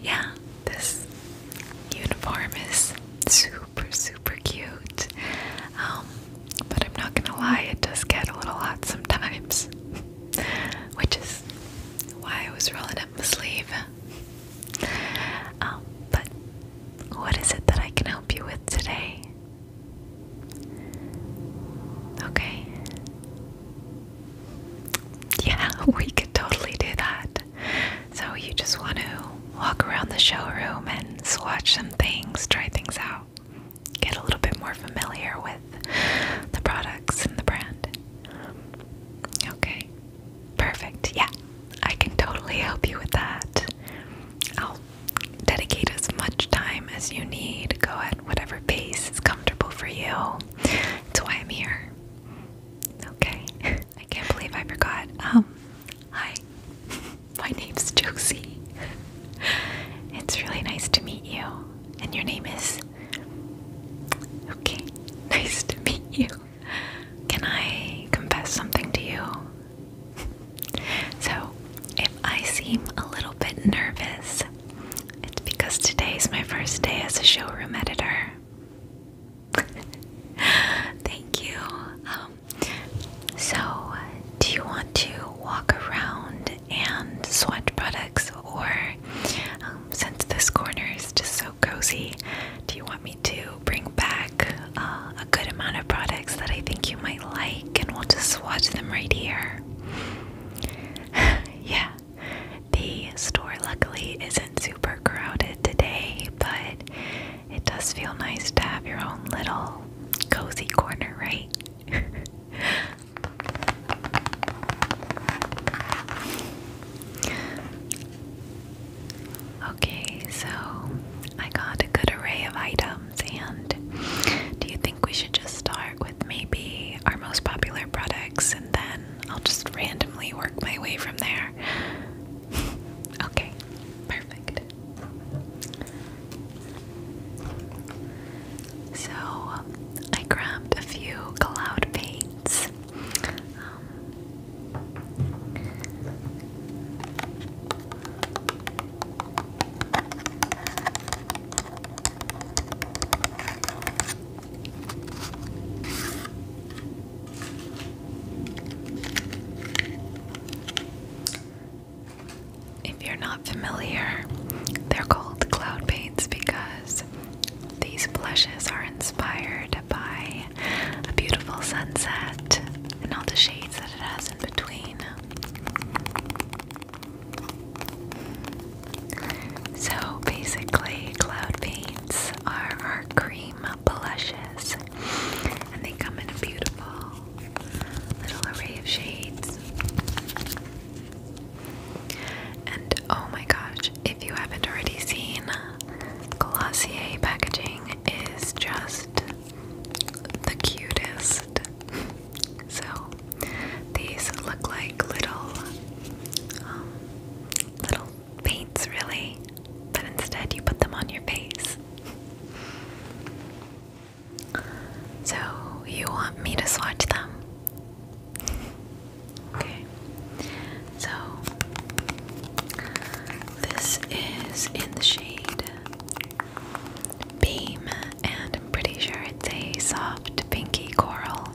Yeah, this uniform is super, super cute. Um, but I'm not gonna lie, it does get a little hot sometimes, which is why I was rolling up my sleeve. Um, but what is it that I can help you with today? Okay. Yeah, we could totally do that. So, you just want to walk around the showroom and swatch some things, try things out, get a little bit more familiar with the products and the brand. Okay, perfect. Yeah, I can totally help you with that. I'll dedicate as much time as you need. Go at whatever pace is comfortable for you. That's why I'm here. Okay. I can't believe I forgot. Um, hi. My name's Josie. It's really nice to meet you. And your name is? Okay. Nice to meet you. Can I confess something to you? So, if I seem a little bit nervous, it's because today is my first day as a showroom editor. Thank you. Um, so, do you want to walk around and sweat products, or um, since this corner is just so cozy, do you want me to bring back uh, a good amount of products that I think you might like, and we'll just swatch them right here? yeah, the store luckily isn't super crowded today, but it does feel nice to have your own little cozy corner, right? okay, so I got a good array of items, and do you think we should just start with maybe our most popular products and then I'll just randomly work my way from there. okay, perfect. So I grabbed a few cloud paints. Um, if you're not familiar, they're called cloud paints because these blushes are inspired by a beautiful sunset and all the shades that it has in between. So basically, Cloud Paints are our cream blushes, and they come in a beautiful little array of shades. And oh my gosh, if you haven't already seen, Glossier packaging is just the cutest. So these look like little um, little paints, really, but instead you put them on your face. So, you want me to swatch them? Okay. So, this is in the shade Beam, and I'm pretty sure it's a soft pinky coral.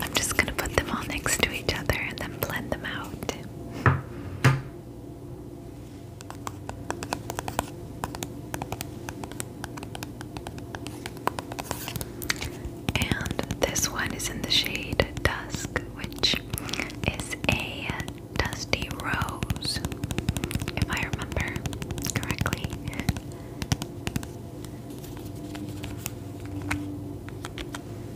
I'm just going to put them all next to each other and then blend them out. And this one is in the shade Dusk, which is a dusty rose, if I remember correctly.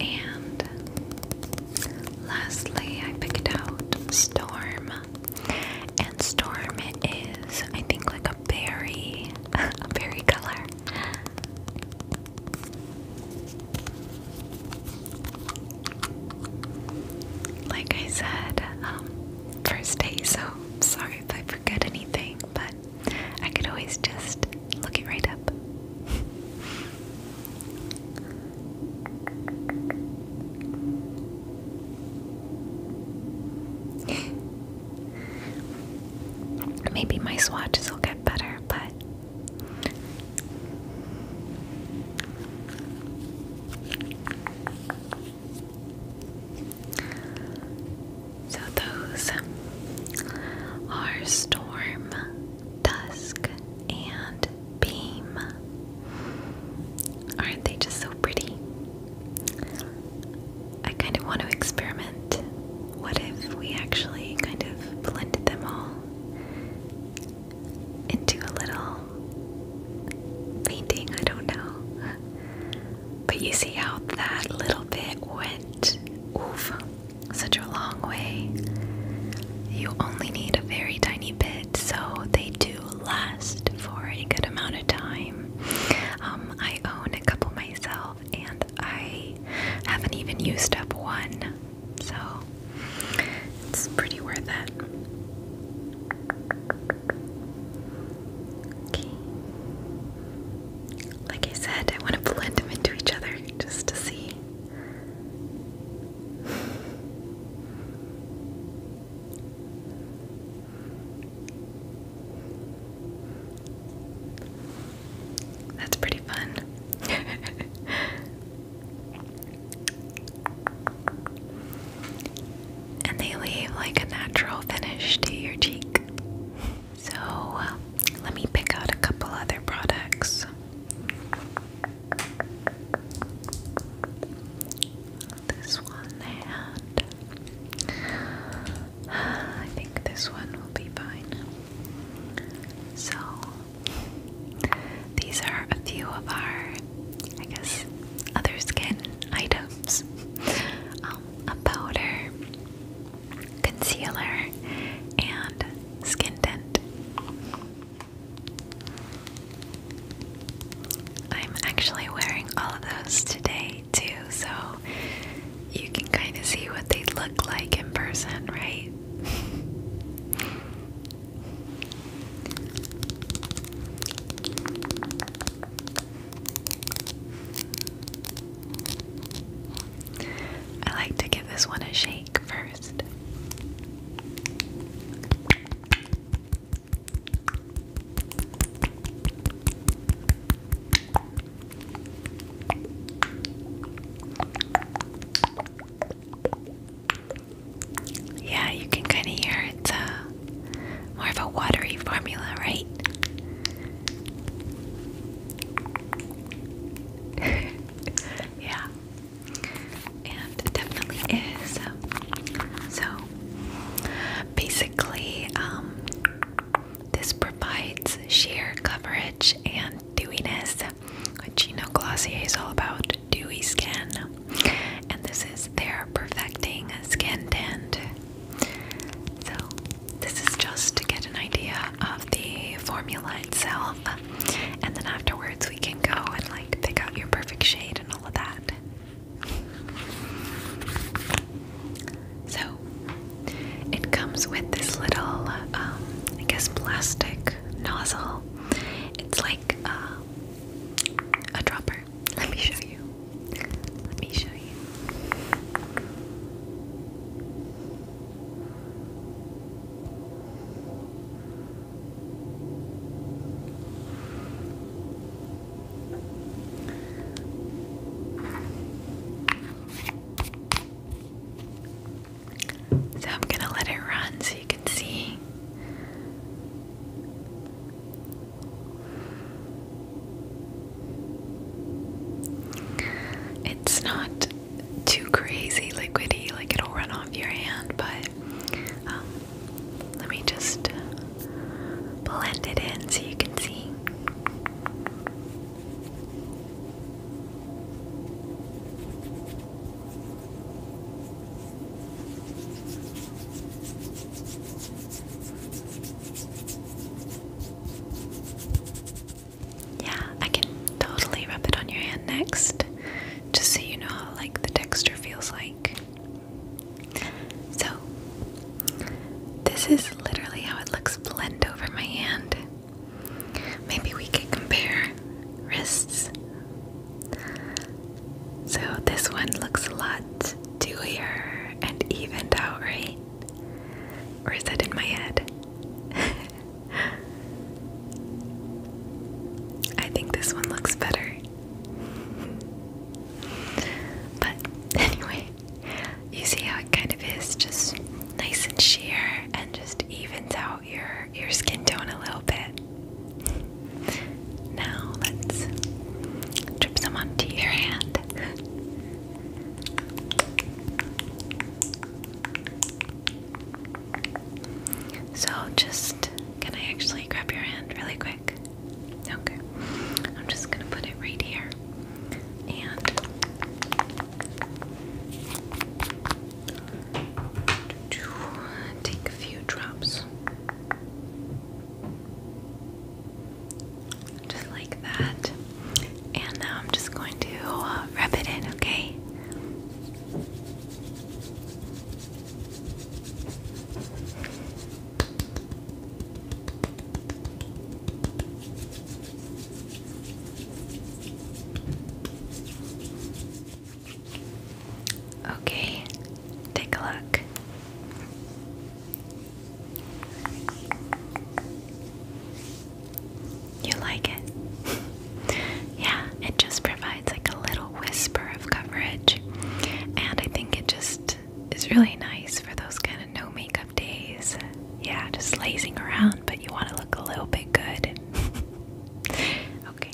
and lastly, I picked out Storm. And Storm is, I think, like a berry, a berry color. Like I said, um, first day, so sorry if I forget anything, but I could always just look it right up. Maybe my swatches will get better, but so those are storm, dusk, and beam. Aren't they just so pretty? I kind of want to experiment. What if we actually kind of blended them all into a little painting? I don't know. But you see how that little bit went oof such a long way. You only need a very tiny bit, so they do last for a good amount of time. Um, I own a couple myself, and I haven't even used up one, so it's pretty worth it. Okay. Like I said, I want to blend them into each other just to see that's pretty fun. and they leave like a natural finish to your cheek. So, uh, let me pick out a couple other products. This one and uh, I think this one will be fine. So these are a few of our, I guess, other skin items. Um, a powder, concealer, and skin tint. I'm actually wearing all of those today too, so you can kind of see what they look like in person, right? I like to give this one a shake for yeah, you can kind of hear it's uh, more of a watery formula, right? yeah, and it definitely is. So basically, um, this provides sheer coverage and dewiness, which you know Glossier is all about dewy skin, and this is their perfecting skin tint. So this is just to get an idea of the formula itself and then afterwards we can go and like pick out your perfect shade and all of that. So it comes with this little, um, I guess, plastic nozzle. It's like uh, a dropper. Let me show you. Let me show you. So I'm going to let it run so you can see. It's not too crazy liquidy, like it'll run off your hand, but um, let me just blend it in so you can see. Yeah, I can totally rub it on your hand next, just so you know how like the texture feels like. So this is literally how it looks blend over my hand. Maybe we could compare wrists. So this one looks a lot dewier and evened out, right? Or is that in my head? I think this one looks better. but anyway, you see how it kind of is just nice and sheer and just evens out your your skin tone a little bit. Now let's drip some onto your hand. So, just can I actually grab your hand really quick? Okay, I'm just gonna put it right here and take a few drops. Just like that. And now I'm just going to uh, rub it in, okay? Okay, take a look. You like it? yeah, it just provides like a little whisper of coverage. And I think it just is really nice for those kind of no makeup days. Yeah, just lazing around, but you want to look a little bit good. okay.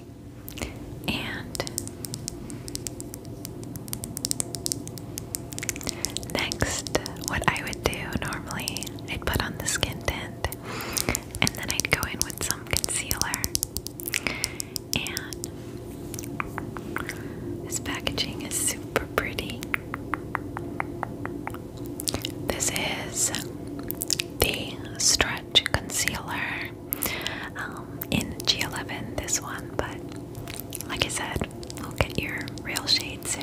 And next, what I would do normally, I'd put on the skin tint and then I'd go in with some concealer. And this packaging is super pretty. This is the Stretch Concealer um, in G11, this one, but like I said, we'll get your real shade soon.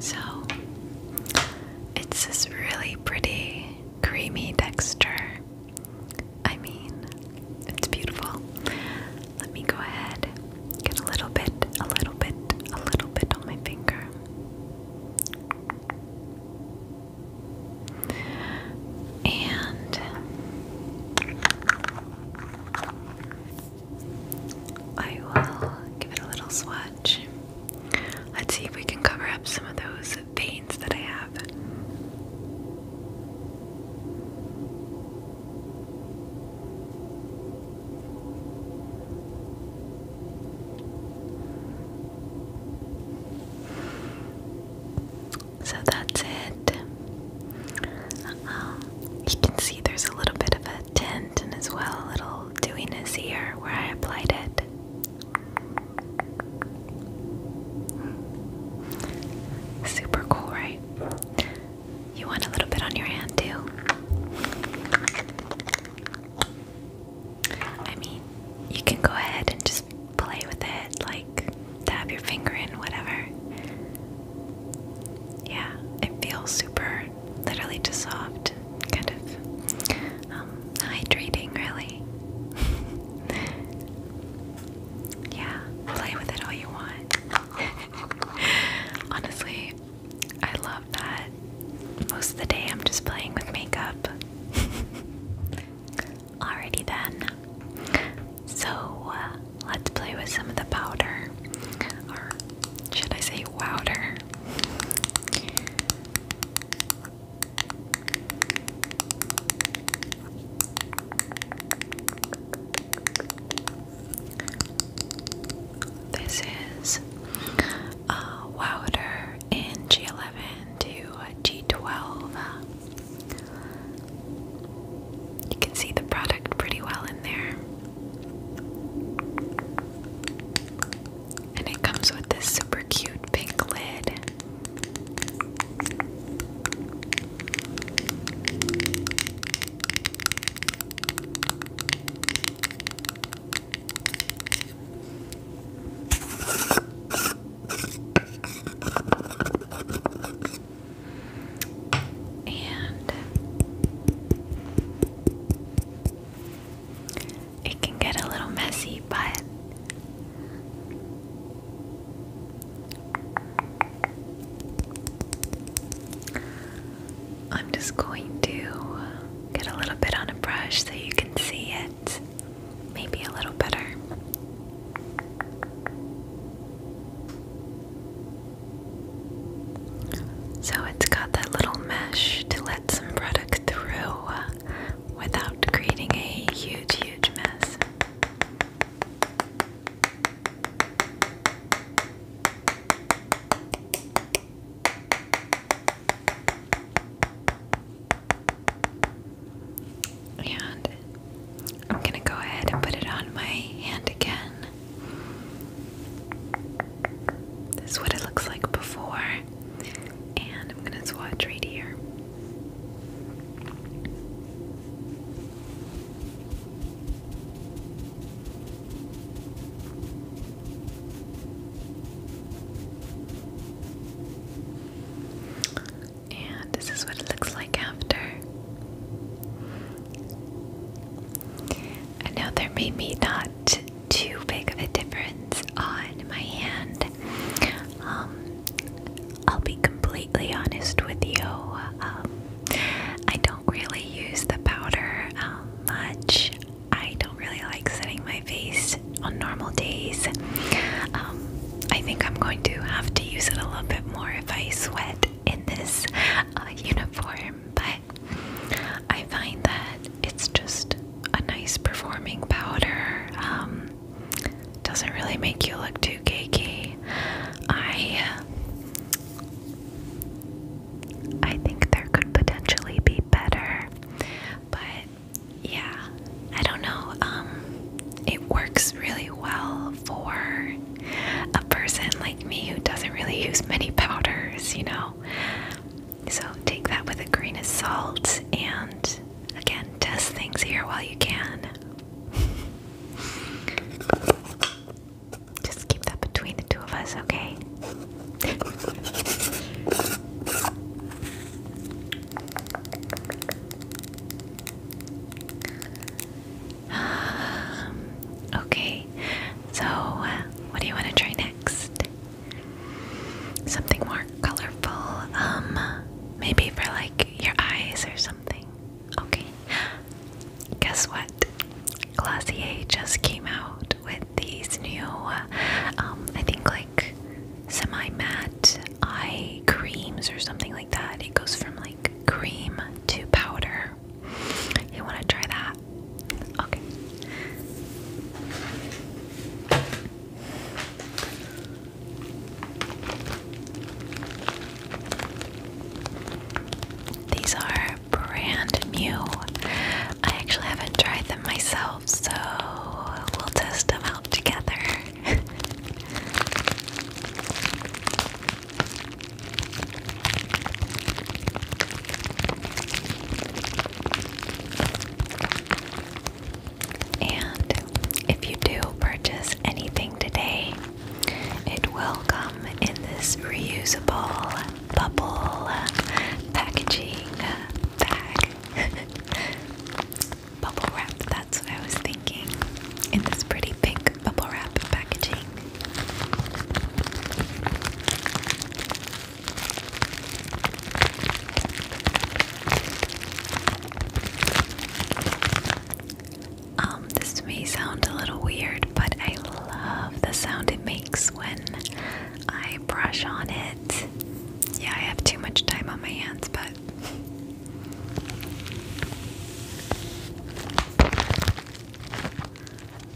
So it's this really pretty creamy texture. I mean, it's beautiful. Let me go ahead, get a little bit, a little bit, a little bit on my finger. And I will give it a little swatch. Let's see if we can cover up some of those veins that I have. So that's it. Um, you can see there's a little bit of a tint and as well a little dewiness here where I applied it. Super cool, right? You want a little bit on your hand, too? I mean, you can go ahead and just play with it, like dab your finger in, whatever. Yeah, it feels super literally just soft, kind of um, hydrating, really. yeah, play with it all you want. Honestly, I love that. Most of the day, I'm just playing with makeup. Alrighty then. So uh, let's play with some of the powder, or should I say, wowder? This is a uh, Wouter in G11 to G12. You can see the product pretty well in there. And it comes with this super cute pink lid. And it can get a little messy, but I'm just going to get a little bit on a brush so you can see it maybe a little better. So it's got that little mesh to let some product through without creating a huge, huge mess. And I'm going to go ahead and put it on my hand again. This is what it looks like before and I'm gonna swatch right here. And this is what it looks like after. I know there may be not too big of a difference on my hand. Um, I'll be completely honest with you. Um, I don't really use the powder um, much. I don't really like setting my face on normal days. I think I'm going to have to use it a little bit more if I sweat in this uh, uniform, but I find that it's just a nice performing powder. Um, doesn't really make you look too cakey. I I think there could potentially be better, but yeah, I don't know. Um, it works really well for a person like me who doesn't really use many powders, you know. So take that with a grain of salt and again, test things here while you can. Just keep that between the two of us, okay? Um, okay, so uh, what do you want to try next? Something more colorful, um, maybe for like your eyes or something. Okay. Guess what? Glossier just came out with these new, um, I think like semi matte eye creams or something like that. It goes from like cream to powder. You want to try that? Okay. These are brand new. I actually haven't tried them myself, so we'll test them out together. And if you do purchase anything today, it will come in this reusable bubble packaging bag. bubble wrap, that's what I was thinking. In this pretty pink bubble wrap packaging. Um, this may sound a little weird, but I love the sound it makes when I brush on it. Yeah, I have too much time on my hands, but.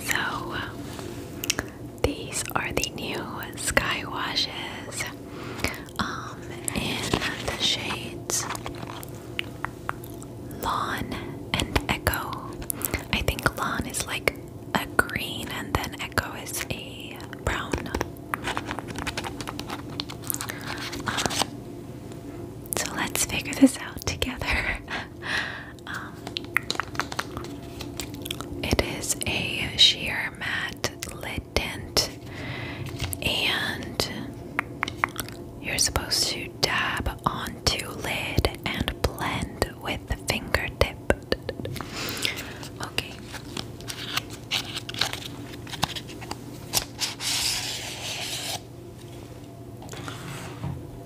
So, these are the new sky washes um, in the shades Lawn and Echo. I think Lawn is like a green, and then Echo is a brown. Um, so let's figure this out together. Um, it is a sheer matte lid tint, and you're supposed to dab onto lid and blend with the fingertip. Okay.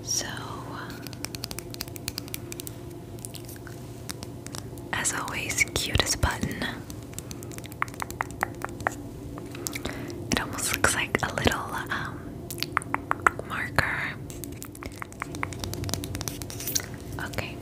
So, as always, cutest button. It almost looks like a little um, marker. Okay.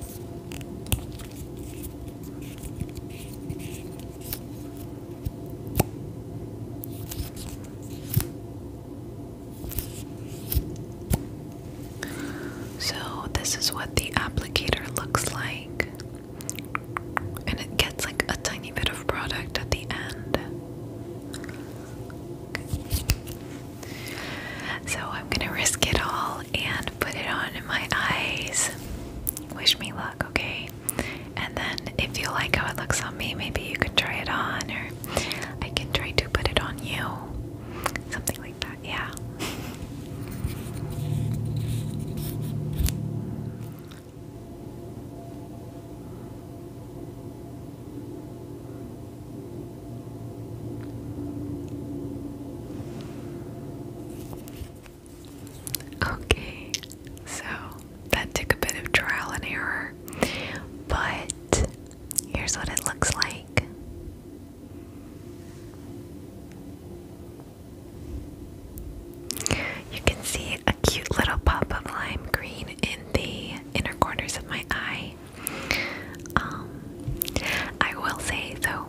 So, this is what the applicator looks like, and it gets like a tiny bit of product at the end. So I'm gonna risk it all and put it on in my eyes. Wish me luck, okay? And then if you like how it looks on me, maybe you can try it on, or I can try to put it on you. Something like that, yeah. Okay, so that took a bit of trial and error, but here's what it looks like. You can see a cute little pop of lime green in the inner corners of my eye. Um, I will say though,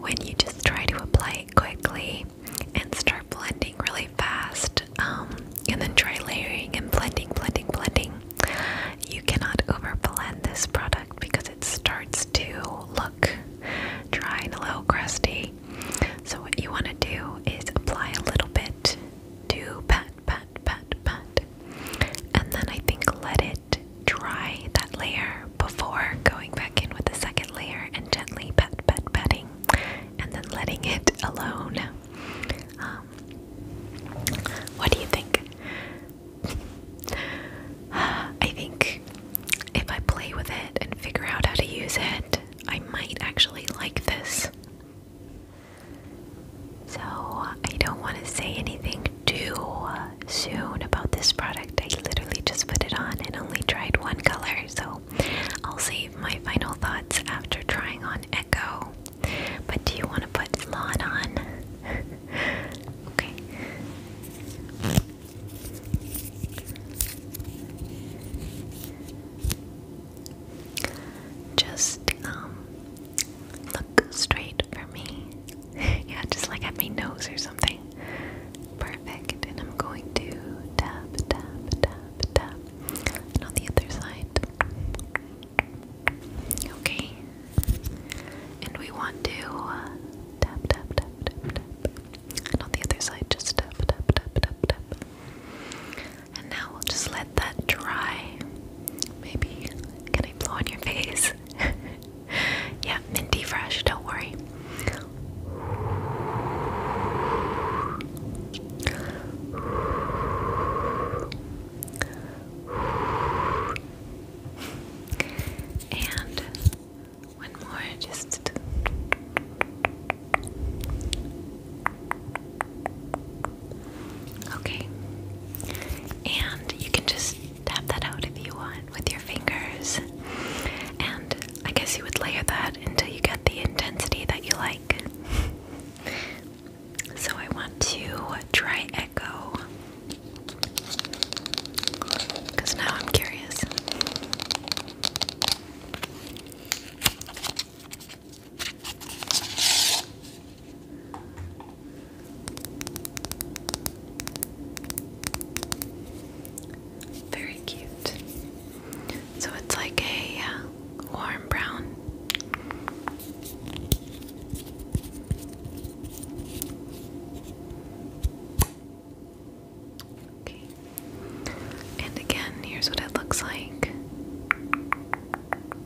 when you just try to apply it quickly and start blending really fast, um, and then try layering and blending, blending, blending, you cannot over blend this product because it starts to look dry and a little crusty. So what you want to do is apply a little bit to pat, pat, pat, pat, and then I think let it dry that layer before going back in with the second layer and gently pet, pet, petting, and then letting it alone. Um, what do you think? I think if I play with it and figure out how to use it, I might actually like this so, I don't want to say anything too uh, soon about this product. I literally just put it on and only tried one color, so I'll save my final thoughts after trying on Echo. But do you want to put Lawn on? okay. Just um Look straight for me. yeah, just like at my nose or something. Perfect. And I'm going to tap, tap, tap, tap. And on the other side. Okay. And we want to uh, tap, tap, tap, tap, tap. And on the other side, just tap, tap, tap, tap, tap. And now we'll just that dry. Maybe, can I blow on your face? yeah, minty fresh, don't worry. And one more, just. Okay. And you can just tap that out if you want with your fingers. And I guess you would layer that until you get the intensity that you like. So I want to try echo. Because now I'm curious. Very cute. So it's like a uh, warm brown. Okay. And again, here's what it looks like.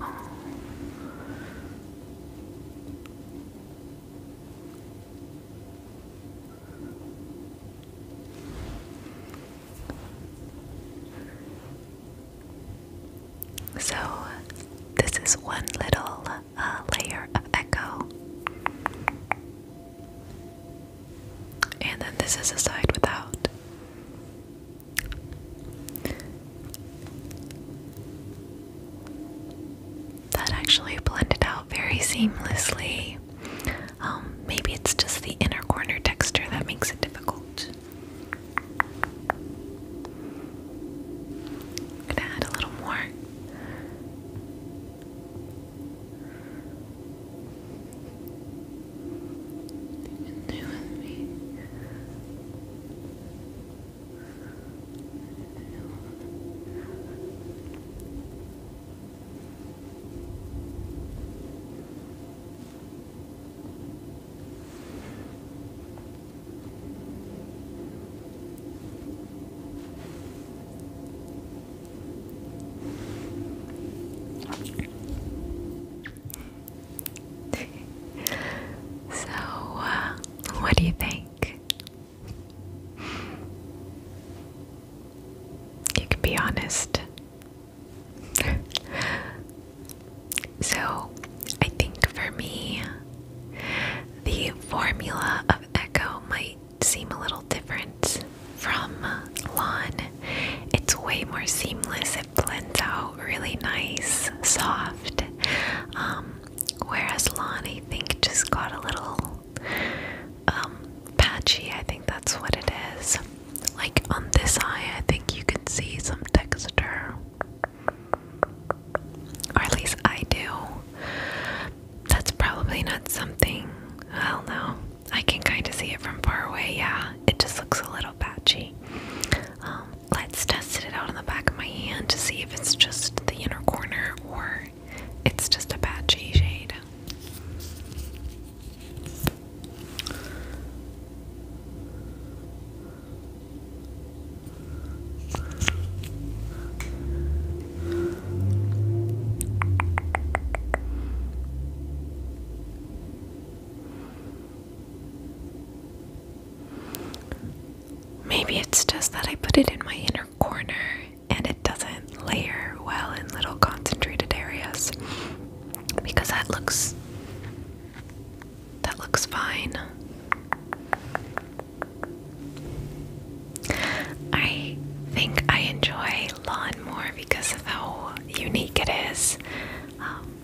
Oh. So, this is one little uh, layer of echo. And then this is a side without. That actually blended out very seamlessly. Um, maybe it's just the inner corner texture that makes it difficult. gonna add a little more. You can do with me. so, uh, what do you think? You can be honest. so, I think for me, the formula of echo might seem a little different from uh, lawn. It's way more seamless, it blends out really nice, soft. Um, whereas lawn, I think, just got a little um, patchy. I think that's what it is. Like on this eye, I think you can see some texture. Or at least I do that's probably not something. Well, no, I can kind of see it from far away. Yeah, it just looks a little patchy. Um, let's test it out on the back of my hand to see if it's just the inner corner or it's just a patchy shade. Maybe it's just that I put it in my inner corner and it doesn't layer well in little concentrated areas because that looks that looks fine. I think I enjoy lawn more because of how unique it is. Um,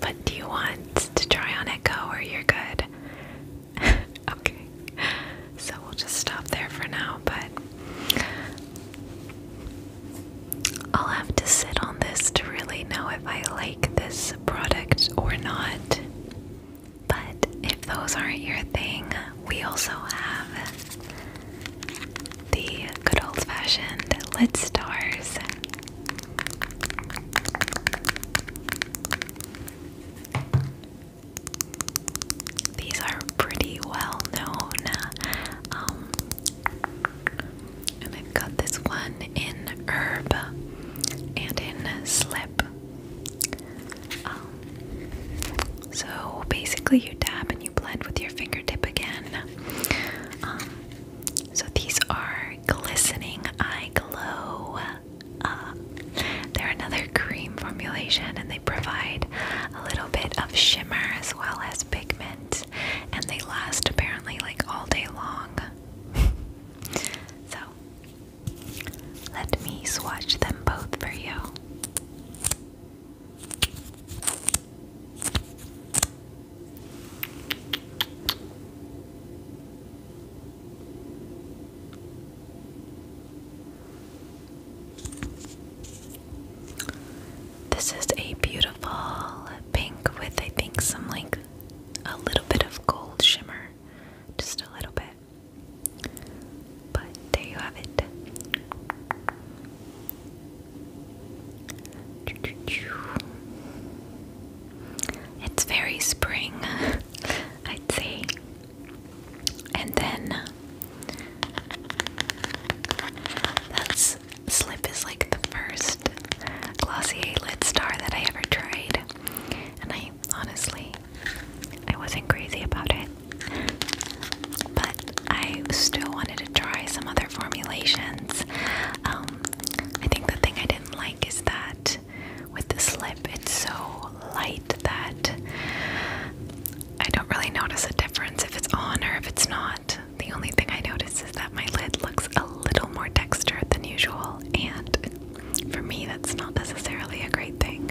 but do you want to try on Echo or you're good? okay, so we'll just stop there for now, but I'll have to sit on this to really know if I like this product or not. But if those aren't your thing, we also have the good old fashioned lid stars. These are pretty well known. Um, and I've got this one in herb and in slip. Um, so basically, you dab and you blend with your fingertip again. Um, so these are glistening eye glow. Uh, they're another cream formulation, and they provide a little bit of shimmer as well as pigment, and they last apparently like all day long. so let me swatch them both for you. This is a beautiful pink with, I think, some like a little bit of gold shimmer. Just a little bit. But there you have it. It's very spring, I'd say. And then that's Slip is like the first glossy lit Star that I ever tried. And I honestly, I wasn't crazy about it. But I still wanted to try some other formulations. Um, I think the thing I didn't like is that with this lip, it's so light that I don't really notice a difference if it's on or if it's not. The only thing I notice is that my lid looks a little more textured than usual, and for me, that's not necessarily a great thing.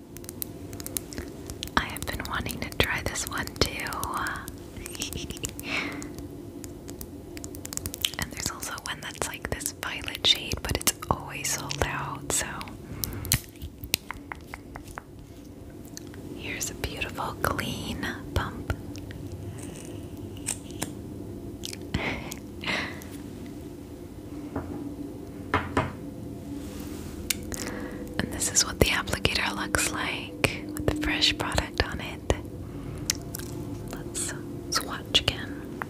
I have been wanting to try this one too. and there's also one that's like this violet shade, but it's always sold out, so. Here's a beautiful clean pump. And this is what the applicator looks like with the fresh product on it. Let's swatch again.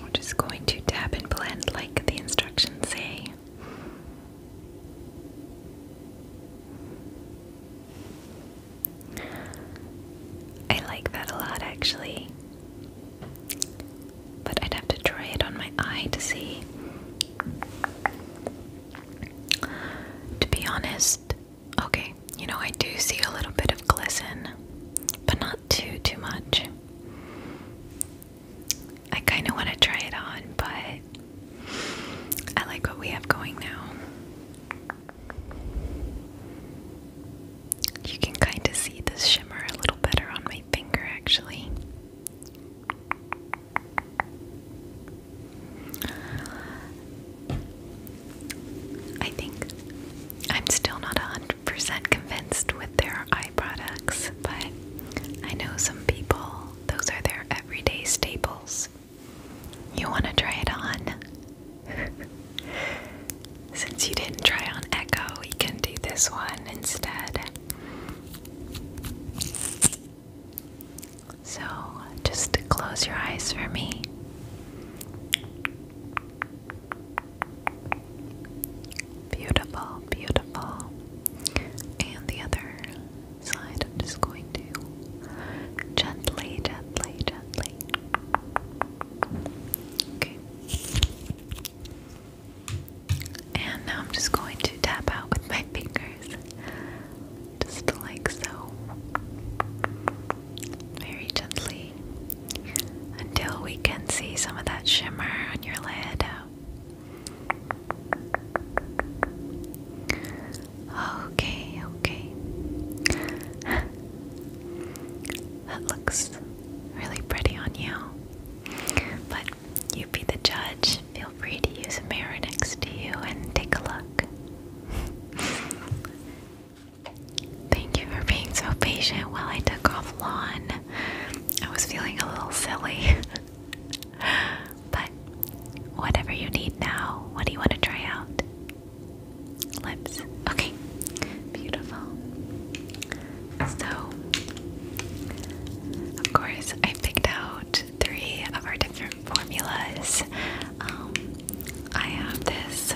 We're just going to tap and blend like the instructions say. I like that a lot actually. But I'd have to try it on my eye to see. To be honest, okay, you know, I do see a little bit of glisten, but not too, too much. I kind of want to try it on, but I like what we have going now. You can kind of see the shimmer a little better on my finger, actually. I think I'm still not 100% convinced with their eye products, but I know some people, those are their everyday staples. You want to try it on? Since you didn't try on Echo, we can do this one instead. So, just close your eyes for me. Beautiful, beautiful. And the other side, I'm just going to gently, gently, gently. Okay. And now I'm just going to tap out with my fingers. Just like so. Very gently. Until we can see some of that shimmer on your lid. Okay, okay. that looks really pretty on you. But you be the judge. Feel free to use a mirror next to you and take a look. Thank you for being so patient while I took off lawn. I was feeling a little silly. but whatever you need now, what do you want to try out? Lips. Okay, beautiful. So, of course, I picked out three of our different formulas. Um, I have this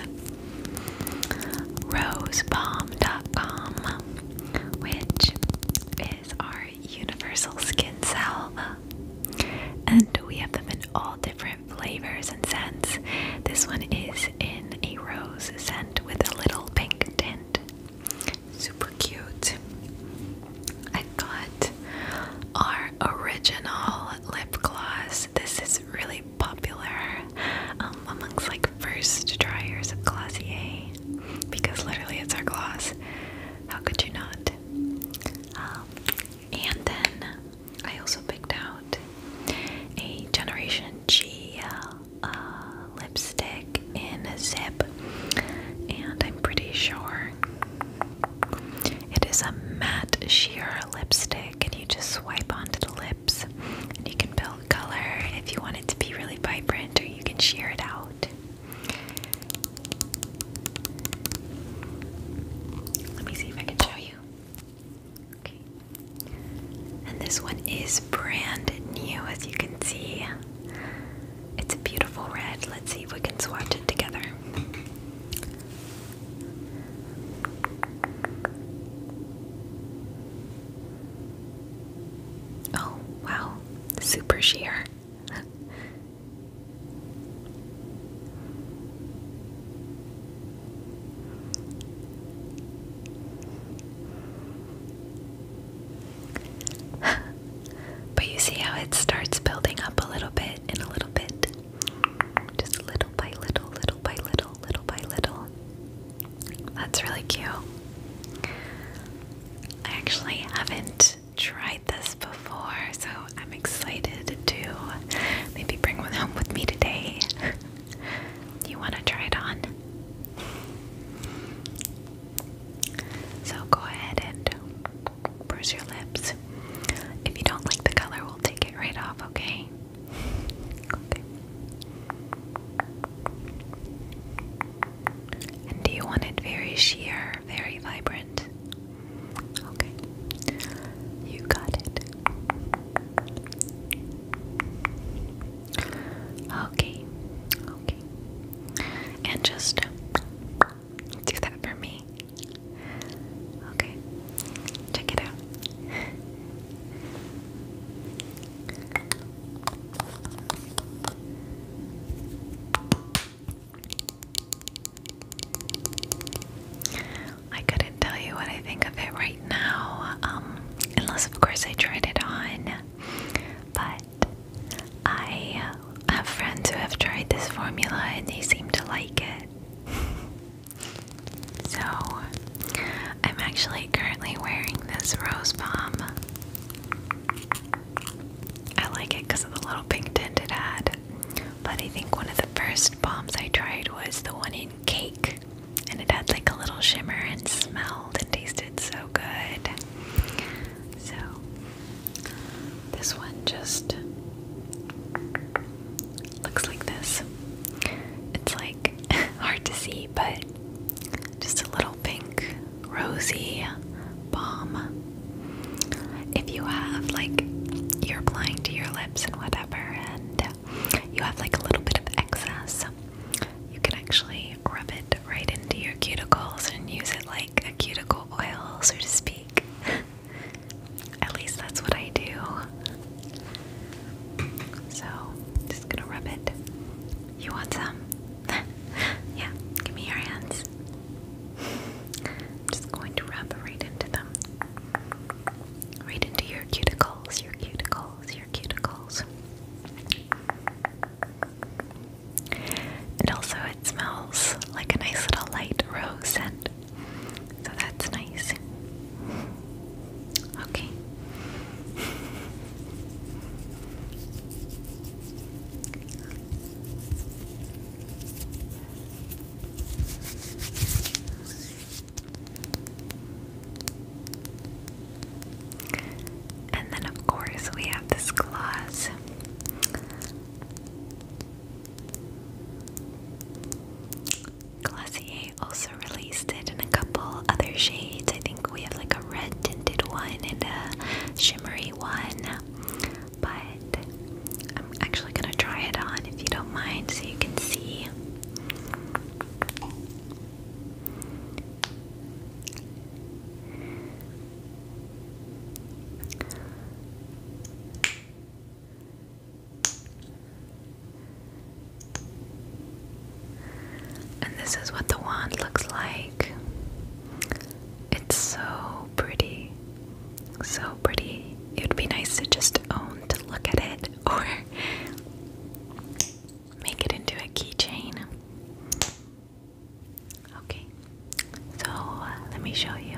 rosebalm.com, which is our universal skin salve. And we have them in all different flavors and scents. This one is in a rose scent with a little pink tint. Super cute. I got our original lip gloss. This is really popular um, amongst like first tryers of Glossier because literally it's our gloss. How could you not? Um, and then I also picked out a Generation G uh, uh, lipstick in a zip, and I'm pretty sure it is a matte sheer lipstick, and you just swipe onto the lips, and you can build color if you want it to be really vibrant, or you can sheer it out. Let me see if I can show you. Okay. And this one is brand new, as you can see. It's a beautiful red. Let's see if we can swatch it together. Oh, wow super sheer. but you see how it starts building up a little bit and a little bit. Just little by little, little by little, little by little. That's really cute. I actually haven't tried this before, so I'm excited to maybe bring one home with me today. you want to try it on? So go ahead and brush your lips. If you don't like the color, we'll take it right off, Okay. And do you want it very sheer, very vibrant? Okay. You got it. Okay. Okay. And just do that for me. Okay. Check it out. I couldn't tell you what I think of it right now, um, unless, of course, I tried it on. But I have friends who have tried this formula and they seem to like it. So, I'm actually currently wearing this rose balm. I like it because of the little pink tint it had. But I think one of the first bombs I tried was the one in cake, and it had like a little shimmer and smelled and tasted so good. So, this one just looks like this. It's like hard to see, but just a little pink, rosy balm. If you have, like, you're applying to your lips and whatever, and you have, like, a little bit of excess, you can actually rub it right into your cuticles and use it like a cuticle oil, so to speak. At least that's what I do. So, just gonna rub it you want some? yeah, give me your hands. I'm just going to rub right into them. Right into your cuticles, your cuticles, your cuticles. And also, it smells like a nice little light rose scent. So that's nice. Okay. And then, of course, we have this gloss. Glossier also released it in a couple other shades. I think we have like a red tinted one and a shimmery one. But I'm actually gonna try it on if you don't mind so you can see. And this is what the wand looks like. It's so pretty. So pretty. It would be nice to just own to look at it or make it into a keychain. Okay, so uh, let me show you.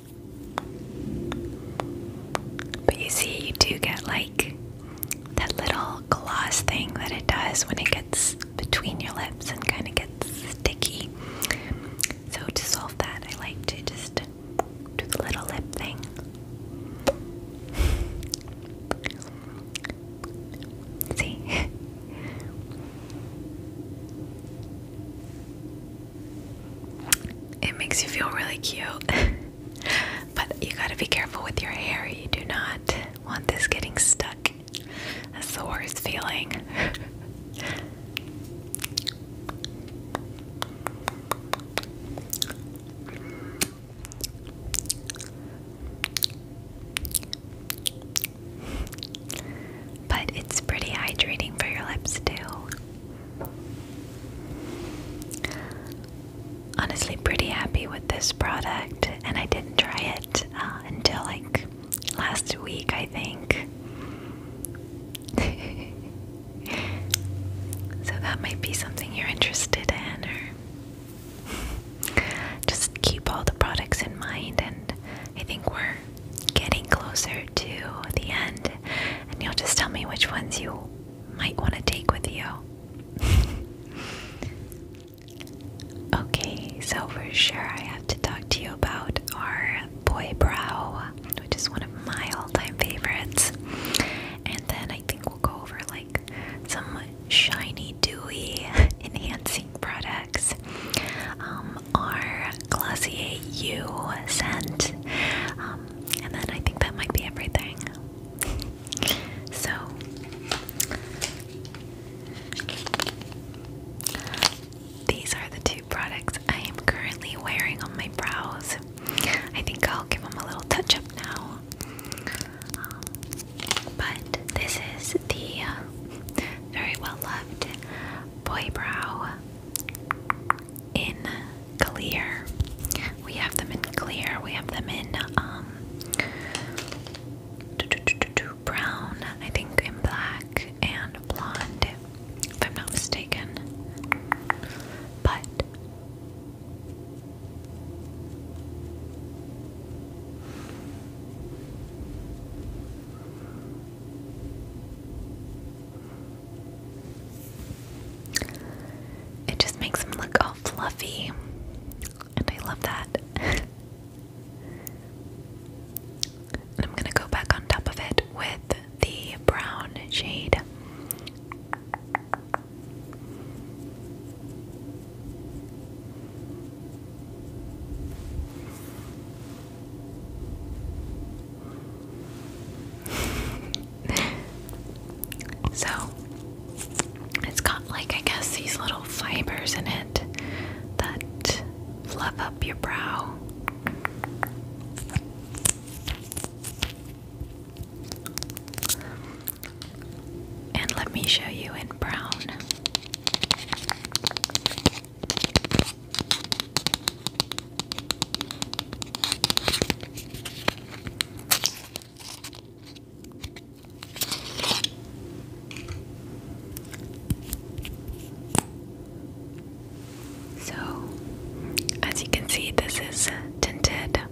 But you see, you do get like that little gloss thing that it does when it gets between your lips and kind of gets sticky. So, to solve that, I like to just do the little lip thing. See? It makes you feel really cute. but you gotta be careful with your hair. You do not want this getting stuck. That's the worst feeling. But it's pretty hydrating for your lips, too. Honestly, pretty happy with this product, and I didn't try it uh, until like last week, I think. so that might be something you're interested in, or just keep all the products in mind, and I think we're getting closer to the end, and you'll just tell me which ones you might want to take with you. okay, so for sure, I have to talk to you about our boy brow, which is one of my all time favorites, and then I think we'll go over like some shiny, dewy, enhancing products. Um, from our Glossier U scent. Um, and then I think that might be everything. So, these are the two products I am currently wearing on my brows. I think I'll give them a little touch up now. Um, but this is the uh, very well loved Boy Brow in clear. We have them in clear. We have them in um brown, I think in black and blonde, if I'm not mistaken. But it just makes them look all fluffy, and I love that. I'm gonna go back on top of it with the brown shade. so it's got like I guess these little fibers in it that fluff up your brow. And let me show you in brown. So, as you can see, this is tinted, and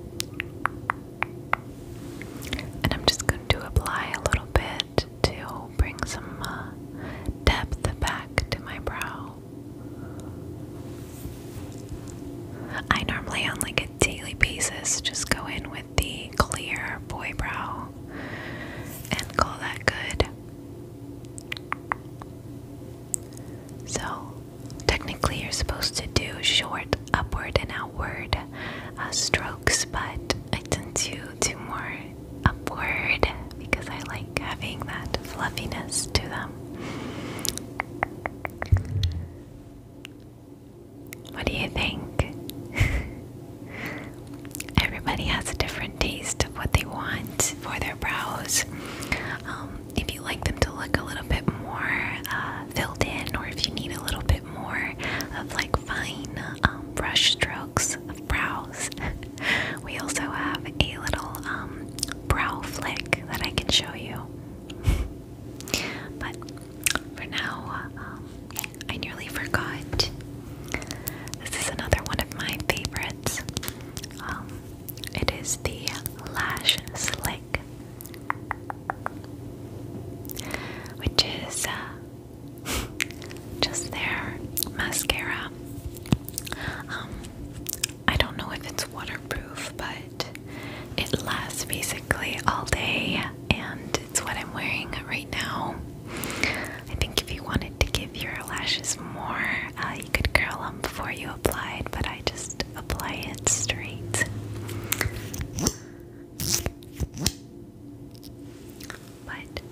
I'm just going to apply a little bit to bring some uh, depth back to my brow. I normally, on like a daily basis, just go in with the clear boy brow and call that good. So, technically, you're supposed to do short upward and outward uh, strokes, but I tend to to more upward because I like having that fluffiness to them. What do you think? Everybody has a different taste of what they want for their brows. Um, if you like them to look a little bit more uh, filled in, or if you need a little bit more of like fine um, brush strokes brows. we also have a little um, brow flick that I can show you. but for now, um, I nearly forgot. This is another one of my favorites. Um, it is the Lash Slick, which is uh, just there, mascara. Um, I don't know if it's waterproof, but it lasts basically all day, and it's what I'm wearing right now. I think if you wanted to give your lashes more, uh, you could curl them before you applied, but I just apply it straight. But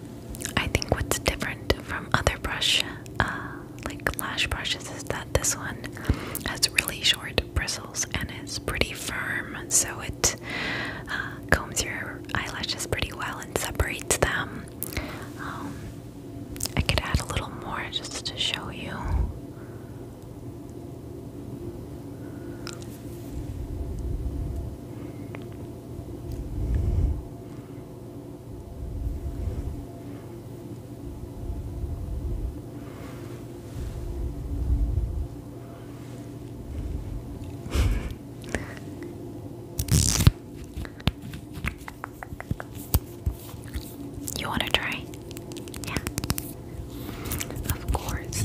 I think what's different from other brush, uh, like lash brushes, is that this one has really short bristles and is pretty firm, so it uh, combs your eyelashes pretty well and separates them. Um, I could add a little more just to show you. You want to try? Yeah. Of course.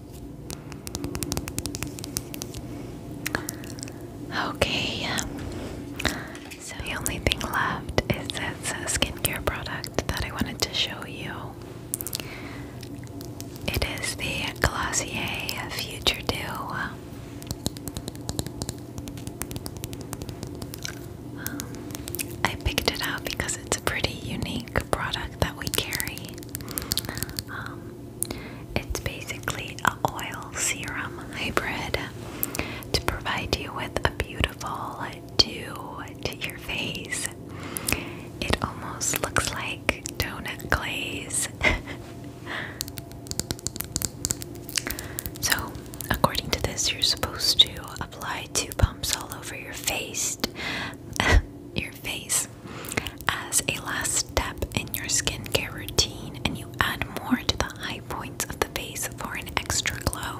Okay, um, so the only thing left is this uh, skincare product that I wanted to show you. It is the Glossier Future Dew. Um, I picked it out because it's a pretty unique product that we carry. Um, it's basically an oil serum hybrid to provide you with a beautiful dew to your face. It almost looks like donut glaze. so, according to this, you're supposed to apply two pumps all over your face. your face as a last step in your skincare routine, and you add more to the high points of the face for an extra glow.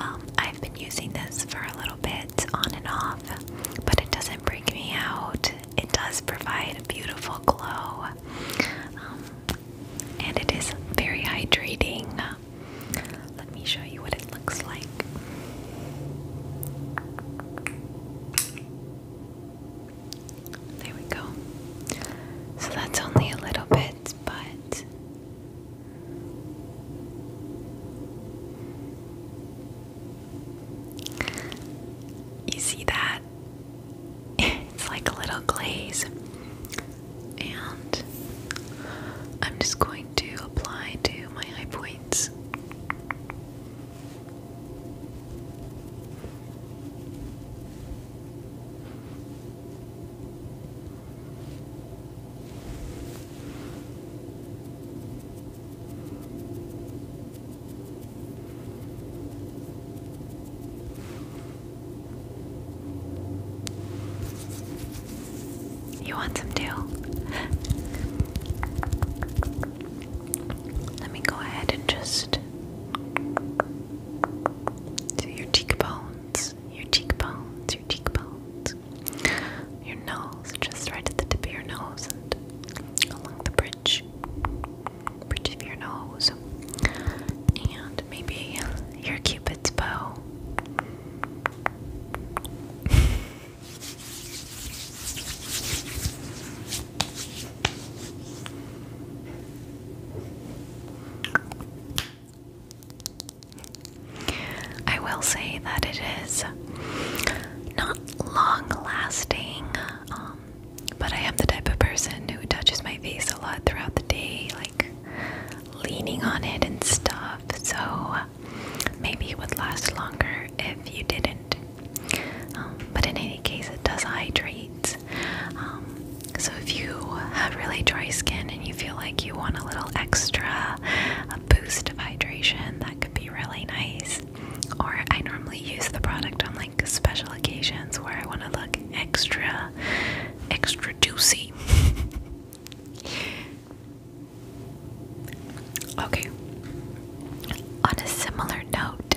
Um, I've been using this for a little bit on and off, but it doesn't break me out. It does provide a beautiful glow, um, and it is very hydrating. Let me show you what it looks like. There we go. So that's only a little bit, but you see that? It's like a little glaze. And I'm just going to apply to my eye points. You want some too? Let me go ahead and just do your cheekbones, your cheekbones, your cheekbones, your nose, just right at the tip of your nose and along the bridge, bridge of your nose, and maybe your cupid's bow. I will say that it is not long lasting, um, but I am the type of person who touches my face a lot throughout the day, like leaning on it and stuff. So Maybe it would last longer if you didn't. Um, but in any case, it does hydrate. Um, so if you have really dry skin and you feel like you want a little extra a boost of hydration, that could be really nice. Or I normally use the product on like special occasions where I want to look extra, extra juicy. Okay. On a similar note,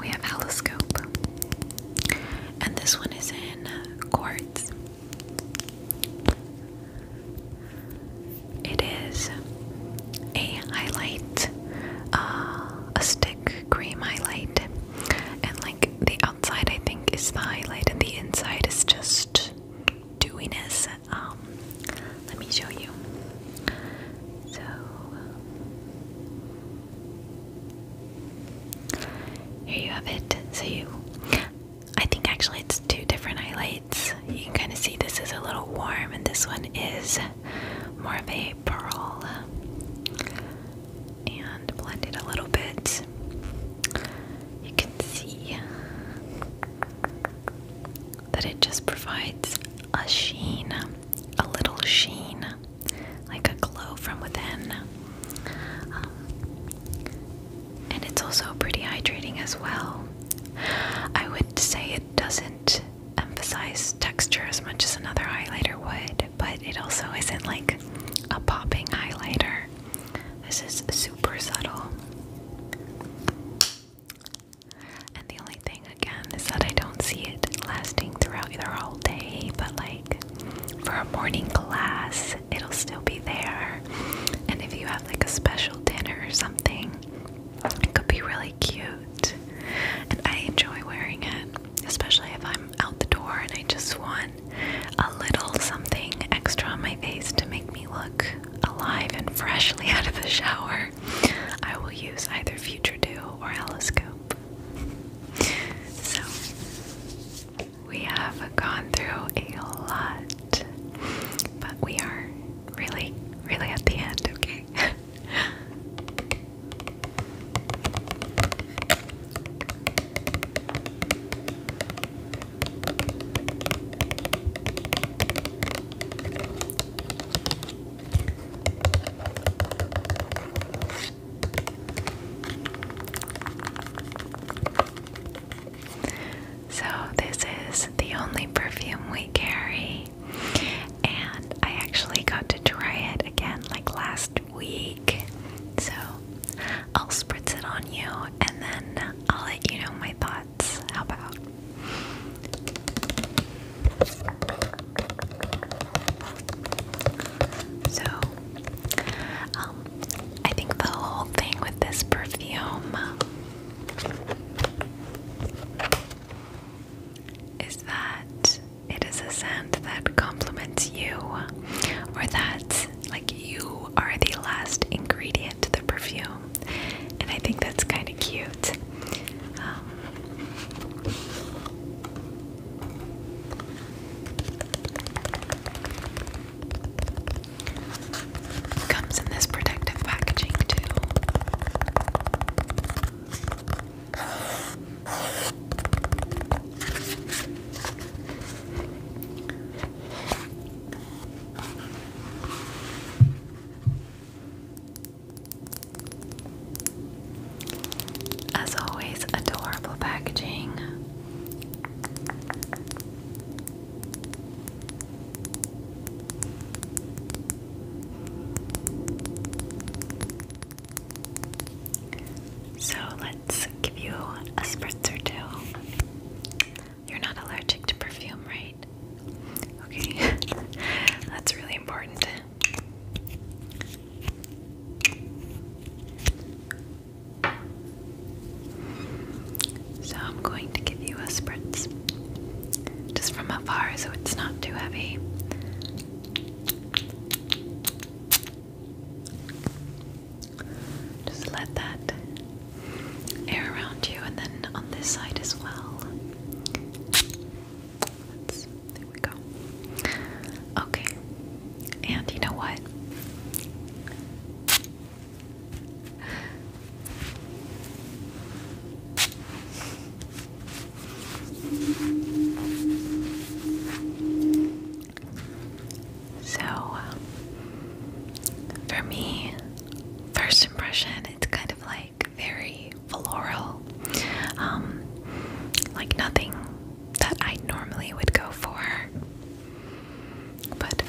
we have Alloscope, and this one is in quartz. It is a highlight, uh, a stick cream highlight, and like the outside, I think, is the highlight, and the inside is just Dewiness. Um, let me show you so here you have it so you I think actually it's two different highlights you can kind of see this is a little warm and this one is more of a pearl and blend it a little bit you can see that it just provides a sheen, a little sheen, like a glow from within. Um, and it's also pretty hydrating as well. I would say it doesn't emphasize texture as much as another highlighter would, but it also isn't like a popping highlighter. This is super subtle. And the only thing again is that I don't see it lasting throughout the whole day, but like for a morning class, it'll still be there. And if you have like a special dinner or something, it could be really cute. And I enjoy wearing it, especially if I'm out the door and I just want a little something extra on my face to make me look alive and freshly out of the shower, I will use either Future Dew or Eloscope. So, we have gone through a lot, but we are really, really at the end, okay? So, this is the only perfume we carry, and I actually got to try it again like last week. So, I'll spritz it on you and then I'll let you know my thoughts. How about? So, um, I think the whole thing with this perfume is that it is a scent that complements you, or that like you are the last ingredient to the perfume, and I think that's kind of cute. Um, comes in this protective packaging too. As always, adorable packaging. So let's give you a spritz or two. You're not allergic to perfume, right? Okay, that's really important. So I'm going to give you a spritz just from afar so it's not too heavy. Just let that air around you and then on this side as well. there we go. Okay. And you know what? So, um, for me, first impression, it's kind of like very floral, um, like nothing that I normally would go for. But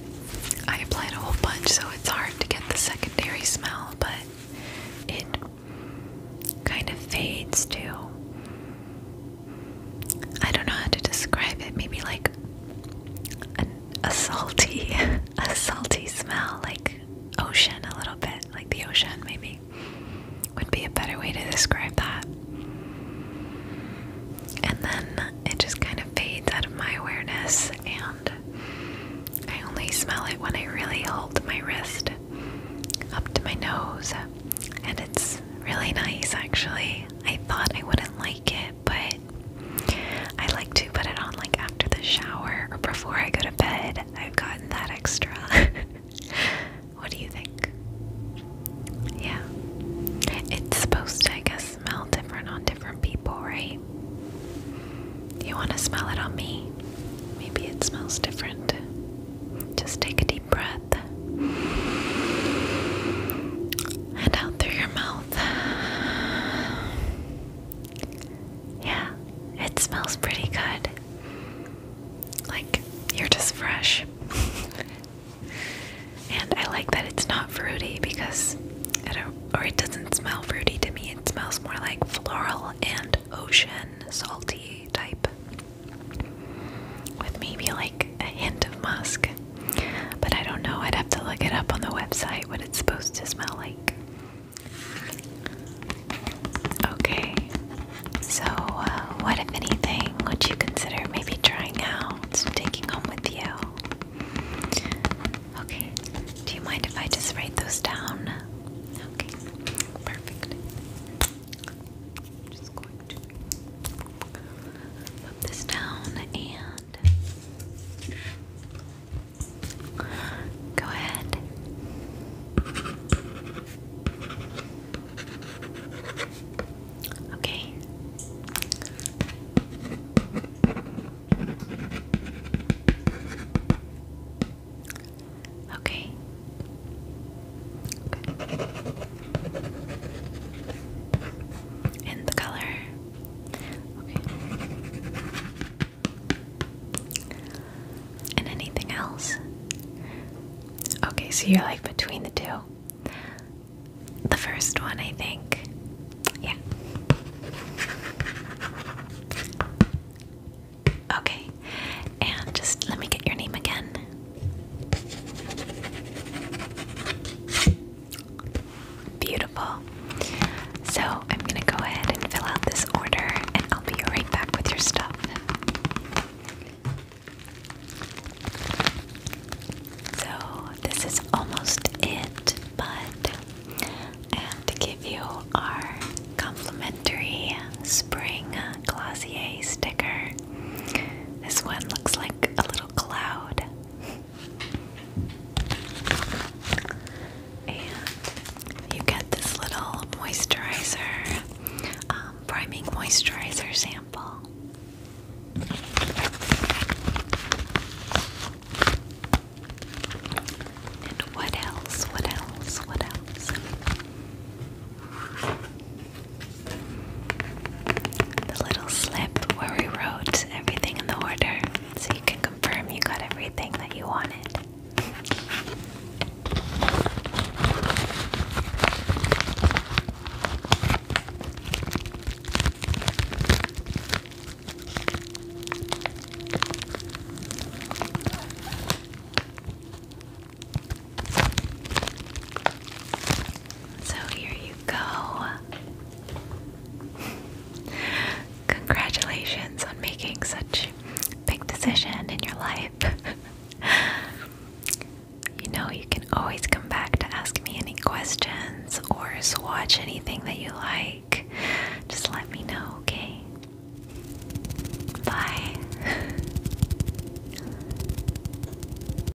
I applied a whole bunch, so it's hard to get the secondary smell, but it kind of fades too. I don't know how to describe it. Maybe like a salty, a salty smell, like ocean a little bit, like the ocean maybe would be a better way to describe that. And then it just kind of fades out of my awareness, and I only smell it when I really hold my wrist up to my nose, and it's really nice actually. I thought I wouldn't like it, but I like to put it on like after the shower or before I go to bed. I've gotten that extra. what do you think? Yeah. It's supposed to, I guess, smell different on different people, right? You want to smell it on me? Maybe it smells different. Just take a deep breath and out through your mouth. Yeah, it smells pretty good. Like you're just fresh. and I like that it's not fruity because or it doesn't smell fruity to me. It smells more like floral and ocean salty type. With maybe like a hint of musk. But I don't know, I'd have to look it up on the website what it's supposed to smell like. Okay, so uh, what, if anything, would you consider maybe trying out, taking home with you? Okay, do you mind if I just write those down? Okay, perfect. Just put this down and go ahead. Okay. Okay. And the color. Okay. And anything else? Okay, so you're like between the two. The first one, I think. Yeah. Okay. And just let me get your name again. Beautiful. So I'm going to go ahead and fill out this order, and I'll be right back with your stuff. So this is almost it, but I to give you our complimentary spring glossier sticker. This one looks like a little cloud. And you get this little moisturizer, um, priming moisturizer sample. And what else? What else? What else? the little slip where we wrote everything in the order so you can confirm you got everything that you wanted. So here you go. Congratulations on making such a big decision in your life. you know you can always come back to ask me any questions or swatch anything that you like. Just let me know, okay? Bye.